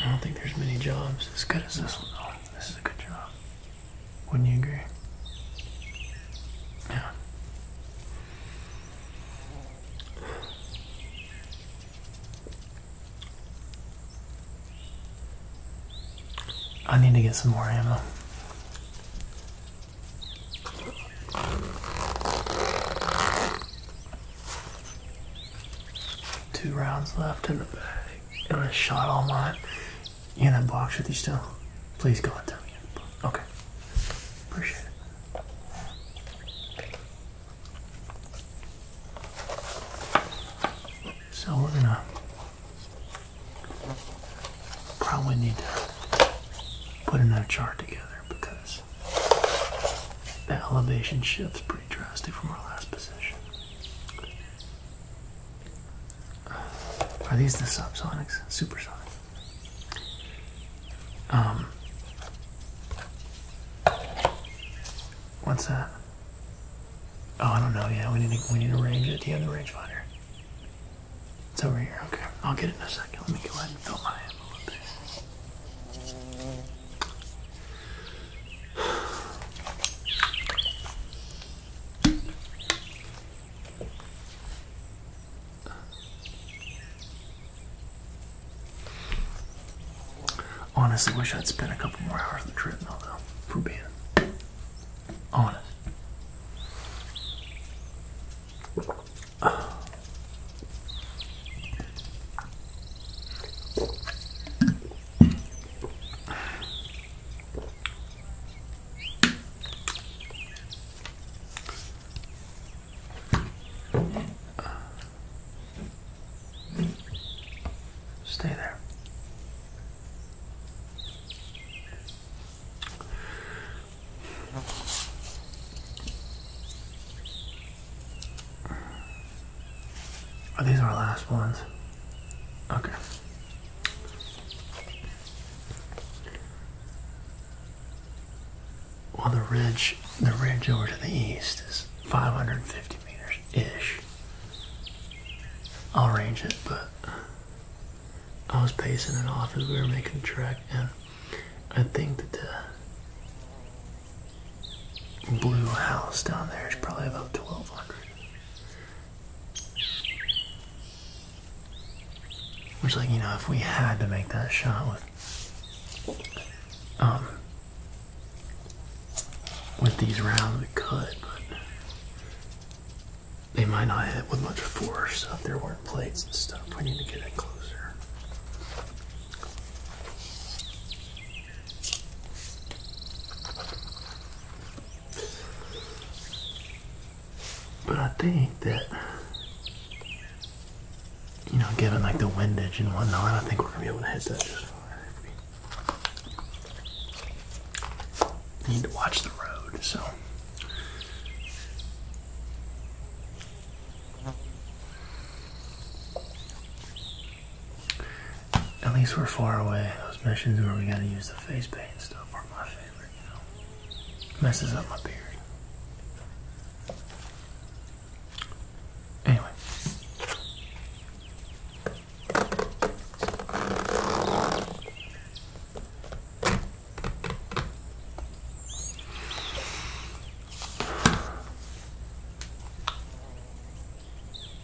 I don't think there's many jobs as good as this one This is a good job. Wouldn't you agree? Yeah. I need to get some more ammo. Two rounds left in the bag. And I shot all mine. You in that box with you still? Please go and tell me. Okay. Appreciate it. So we're gonna probably need to put another chart together because the elevation shifts pretty drastic from our last position. Are these the subsonics? Supersonic. Um. What's that? Oh, I don't know. Yeah, we need to we need to range it. Do you have the range finder? It's over here. Okay, I'll get it in a second. Let me go ahead and fill my envelope. Honestly, wish I'd spent a couple more hours of the trip. though. For being honest. Stay there. Are these our last ones? Okay. On the ridge, the ridge over to the east is 550 meters-ish. I'll range it, but I was pacing it off as we were making the trek, and I think that the blue house down there is probably about 1200. Which, like, you know, if we had to make that shot with, um, with these rounds, we could, but they might not hit with much force so if there weren't plates and stuff. We need to get in closer. But I think that, you know, given like the windage and whatnot, I think we're gonna be able to hit that just need to watch the road, so. At least we're far away. Those missions where we gotta use the face paint and stuff are my favorite, you know. Messes up my beard. Anyway.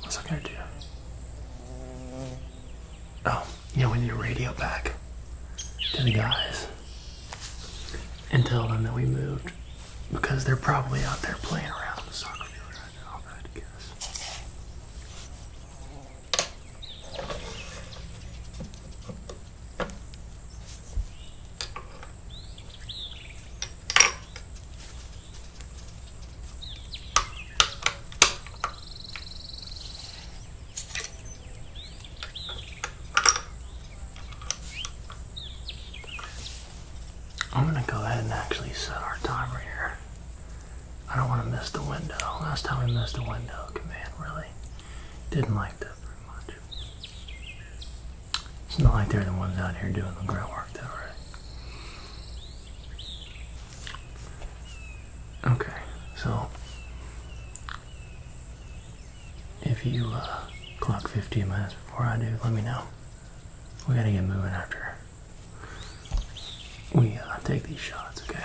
What's that gonna do? Oh, yeah, we need a radio back to the guys and tell them that we moved because they're probably out there playing around the soccer field right now, I would guess. I'm gonna go ahead and actually set our timer here. I don't want to miss the window. Last time we missed the window command, really. Didn't like that very much. It's not like they're the ones out here doing the groundwork, though, right? Okay, so if you uh, clock 15 minutes before I do, let me know. We gotta get moving after we uh, take these shots, okay?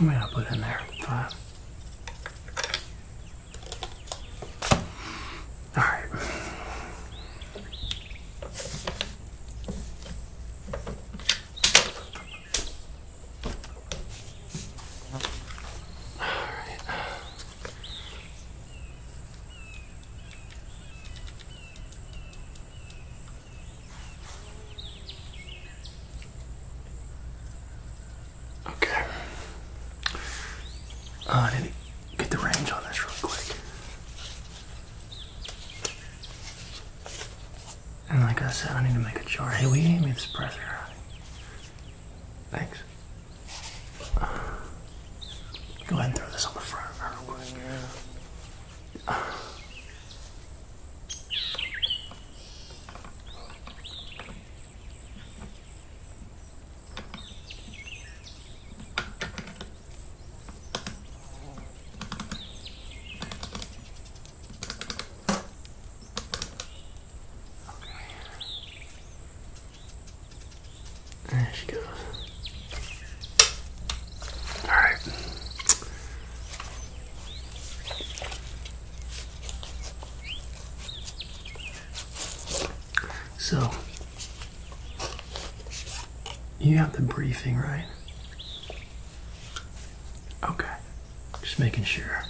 I'm gonna put in there? Five. All right. Uh, I need get the range on this real quick. And like I said, I need to make a chart. Hey, will you hand me this presser? Thanks. Go ahead and throw this on the front real quick. There she goes. All right. So, you got the briefing, right? Okay. Just making sure.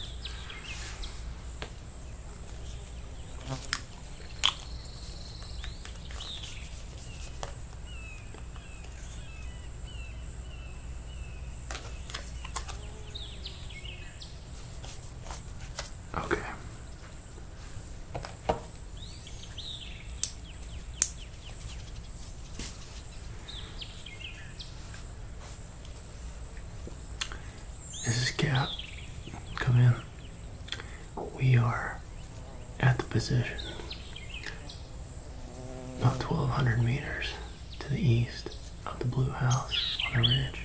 Okay. This is Cap. Come in. We are at the position about 1200 meters to the east of the blue house on the ridge.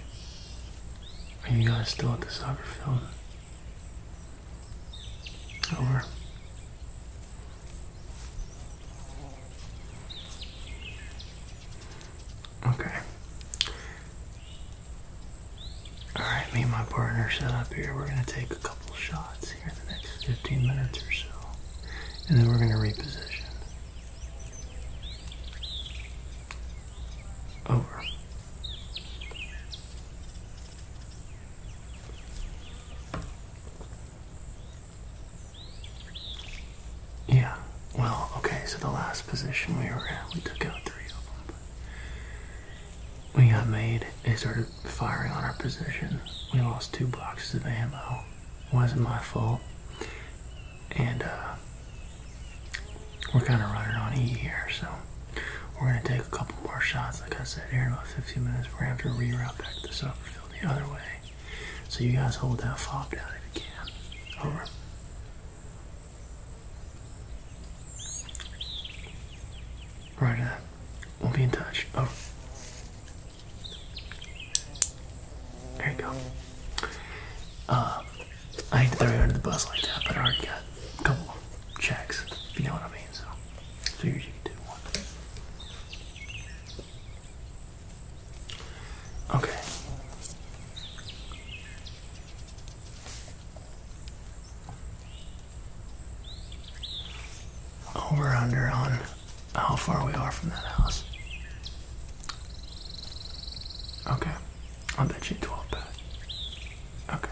Are you guys still at the soccer field? Over. Okay. Alright, me and my partner set up here. We're going to take a couple shots here in the next 15 minutes or so. And then we're going to reposition. Over. Yeah. Well, okay, so the last position we were at, we took out three of them. we got made and started firing on our position. We lost two boxes of ammo. Wasn't my fault. And, uh, we're kind of running on E here, so we're going to take a couple more shots, like I said, here 15 minutes. We're going to have to reroute back this upfield the other way. So you guys hold that fob down if you can. Over. Right at uh, We'll be in touch. Oh. There you go. Uh, I hate to throw you under the bus like that, but I already got a couple checks, you know what I mean, so. Figured you could do one. Okay. Over under on how far we are from that house. Okay. I'll bet you 12 back. Okay.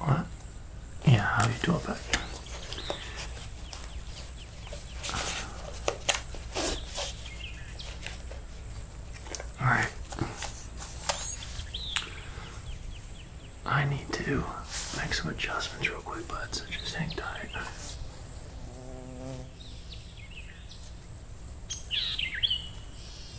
What? Yeah, how you do it back? Alright. I need to make some adjustments real quick, bud, so just hang tight.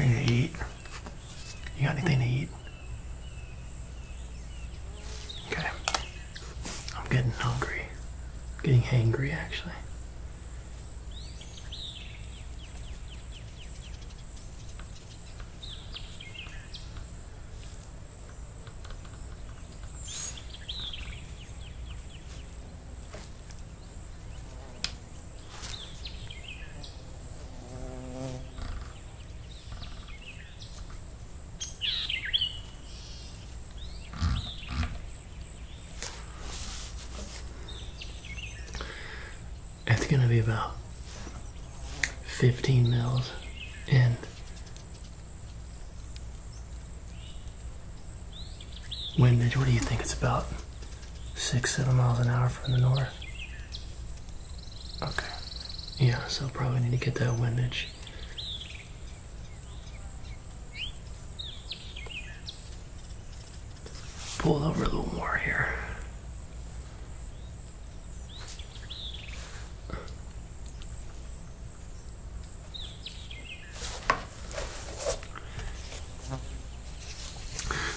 anything to eat? You got anything to eat? Okay. I'm getting hungry. getting hangry actually. It's going to be about 15 mils and Windage, what do you think? It's about six, seven miles an hour from the north. Okay. Yeah, so I'll probably need to get that windage Pull over a little more here.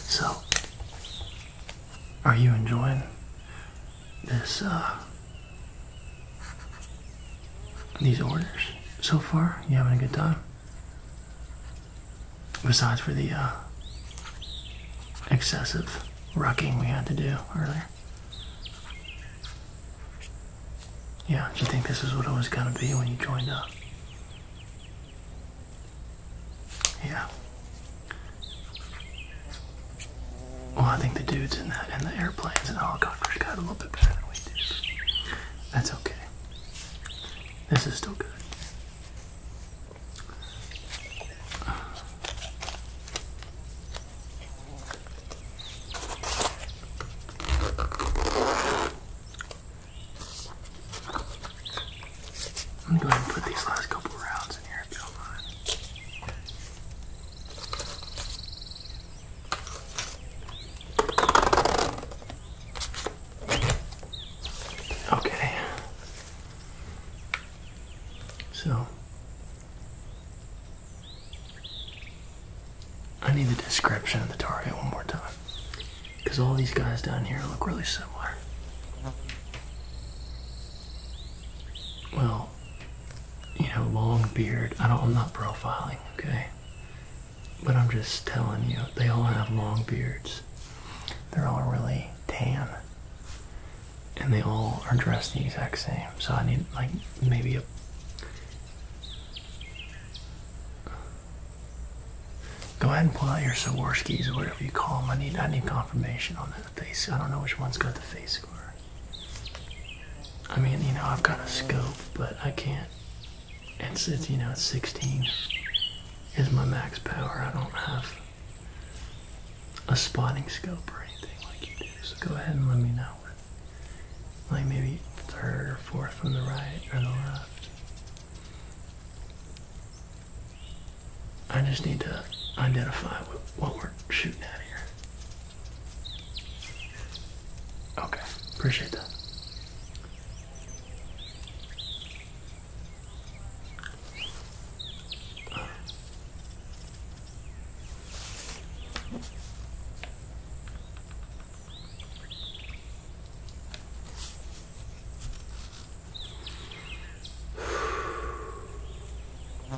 So, are you enjoying this uh, these orders so far? You having a good time? Besides for the uh, excessive rucking we had to do earlier. Yeah, do you think this is what it was gonna be when you joined up? Yeah. Well, I think the dudes in that and the airplanes and helicopters oh got a little bit better than we did. That's okay. This is still good. I'm going to put these last couple rounds in here Okay. So, I need the description of the target one more time. Because all these guys down here look really similar. Well, you know, long beard. I don't I'm not profiling, okay? But I'm just telling you, they all have long beards. They're all really tan. And they all are dressed the exact same. So I need like maybe a Go ahead and pull out your Swarovskis or whatever you call them. I need I need confirmation on that face. I don't know which one's got the face score. I mean, you know, I've got a scope, but I can't. It's, it's you know, it's 16 is my max power. I don't have a spotting scope or anything like you do. So go ahead and let me know. Like maybe third or fourth from the right or the left. I just need to identify what, what we're shooting at here. Okay, appreciate that. Uh.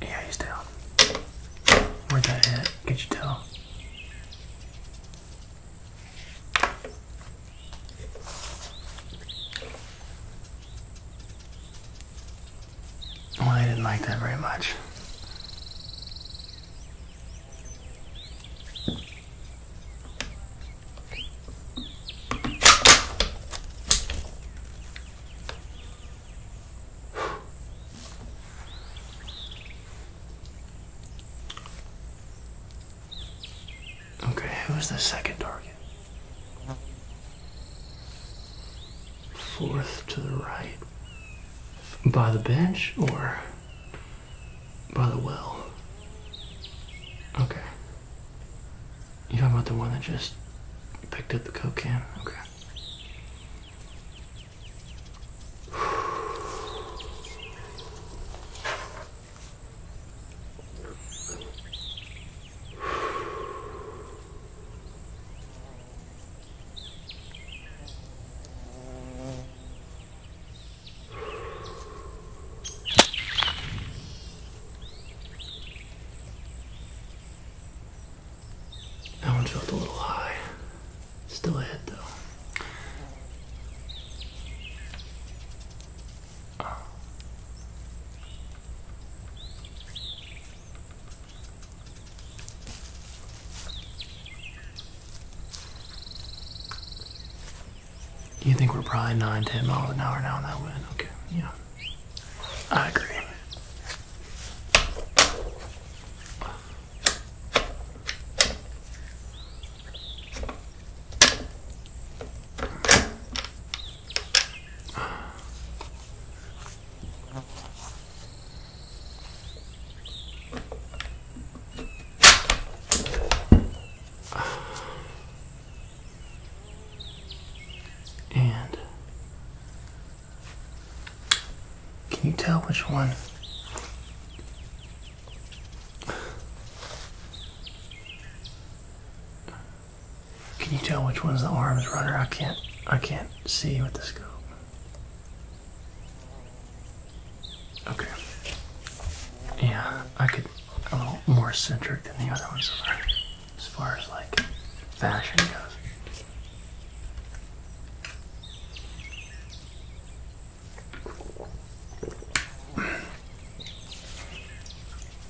Yeah, he's down. Where'd that hit? Get you tell? Well, I didn't like that very much. Okay, Who was the second target? Fourth to the right. By the bench or by the well? Okay. You talking about the one that just picked up the cocaine? Okay. That one felt a little high. Still ahead though. You think we're probably 9, 10 miles an hour now in that wind? Okay, yeah. I agree. And can you tell which one? Can you tell which one's the arms runner? I can't I can't see with the scope. Okay. Yeah, I could a little more eccentric than the other ones as far as like fashion goes.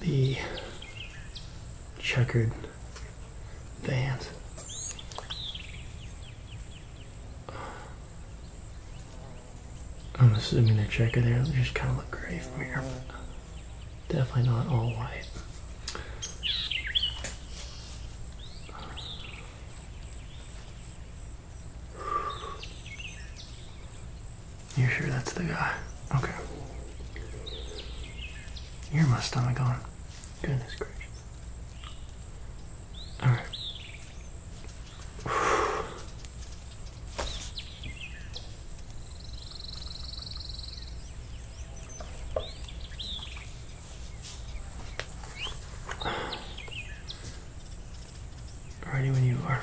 the checkered vans. I'm assuming the checker there. just kind of look gray from here. Definitely not all white. You're sure that's the guy? Okay. You're my stomach on. Goodness gracious. Alright. Ready when you are.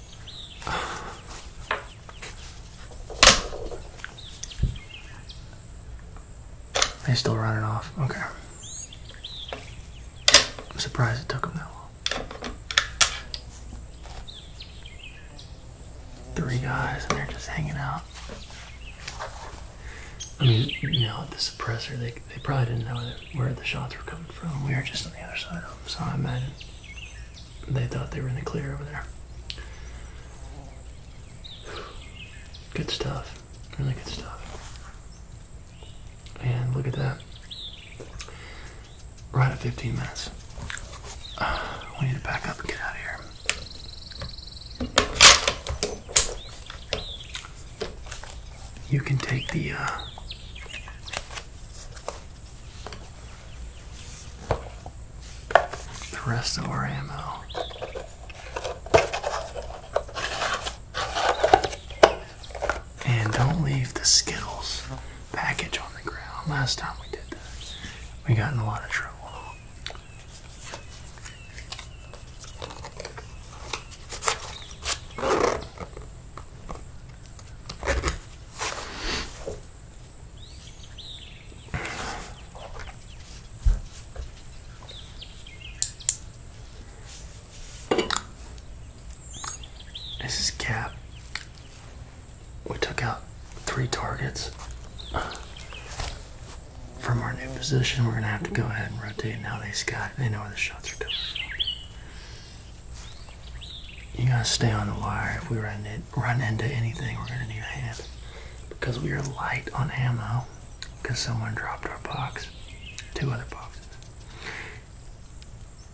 They're still running off. Okay. I'm surprised it took them that long. Three guys and they're just hanging out. I mean, you know, the suppressor, they, they probably didn't know where the shots were coming from. We were just on the other side of them, so I imagine they thought they were in the clear over there. Good stuff. Really good stuff. And look at that. Right at 15 minutes. we need to back up and get out of here. You can take the, uh, the rest of our ammo. And don't leave the Skittles package on the ground. Last time we did that, we got in a lot of trouble. This is Cap. We took out three targets. From our new position, we're gonna have to go ahead and rotate. Now these guys, they know where the shots are coming from. You gotta stay on the wire. If we run into anything, we're gonna need a hand because we are light on ammo. Because someone dropped our box, two other boxes,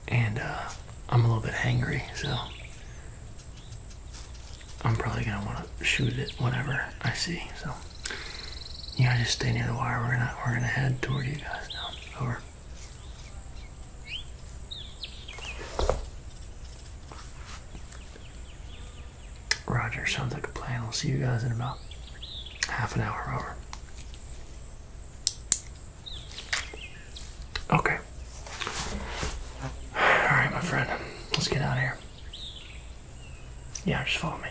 and uh, I'm a little bit hangry, so I'm probably gonna want to shoot it whenever I see. So yeah, just stay near the wire. We're gonna we're gonna head toward you guys now. Over. Roger, sounds like a plan. We'll see you guys in about half an hour over. Okay. Alright, my friend. Let's get out of here. Yeah, just follow me.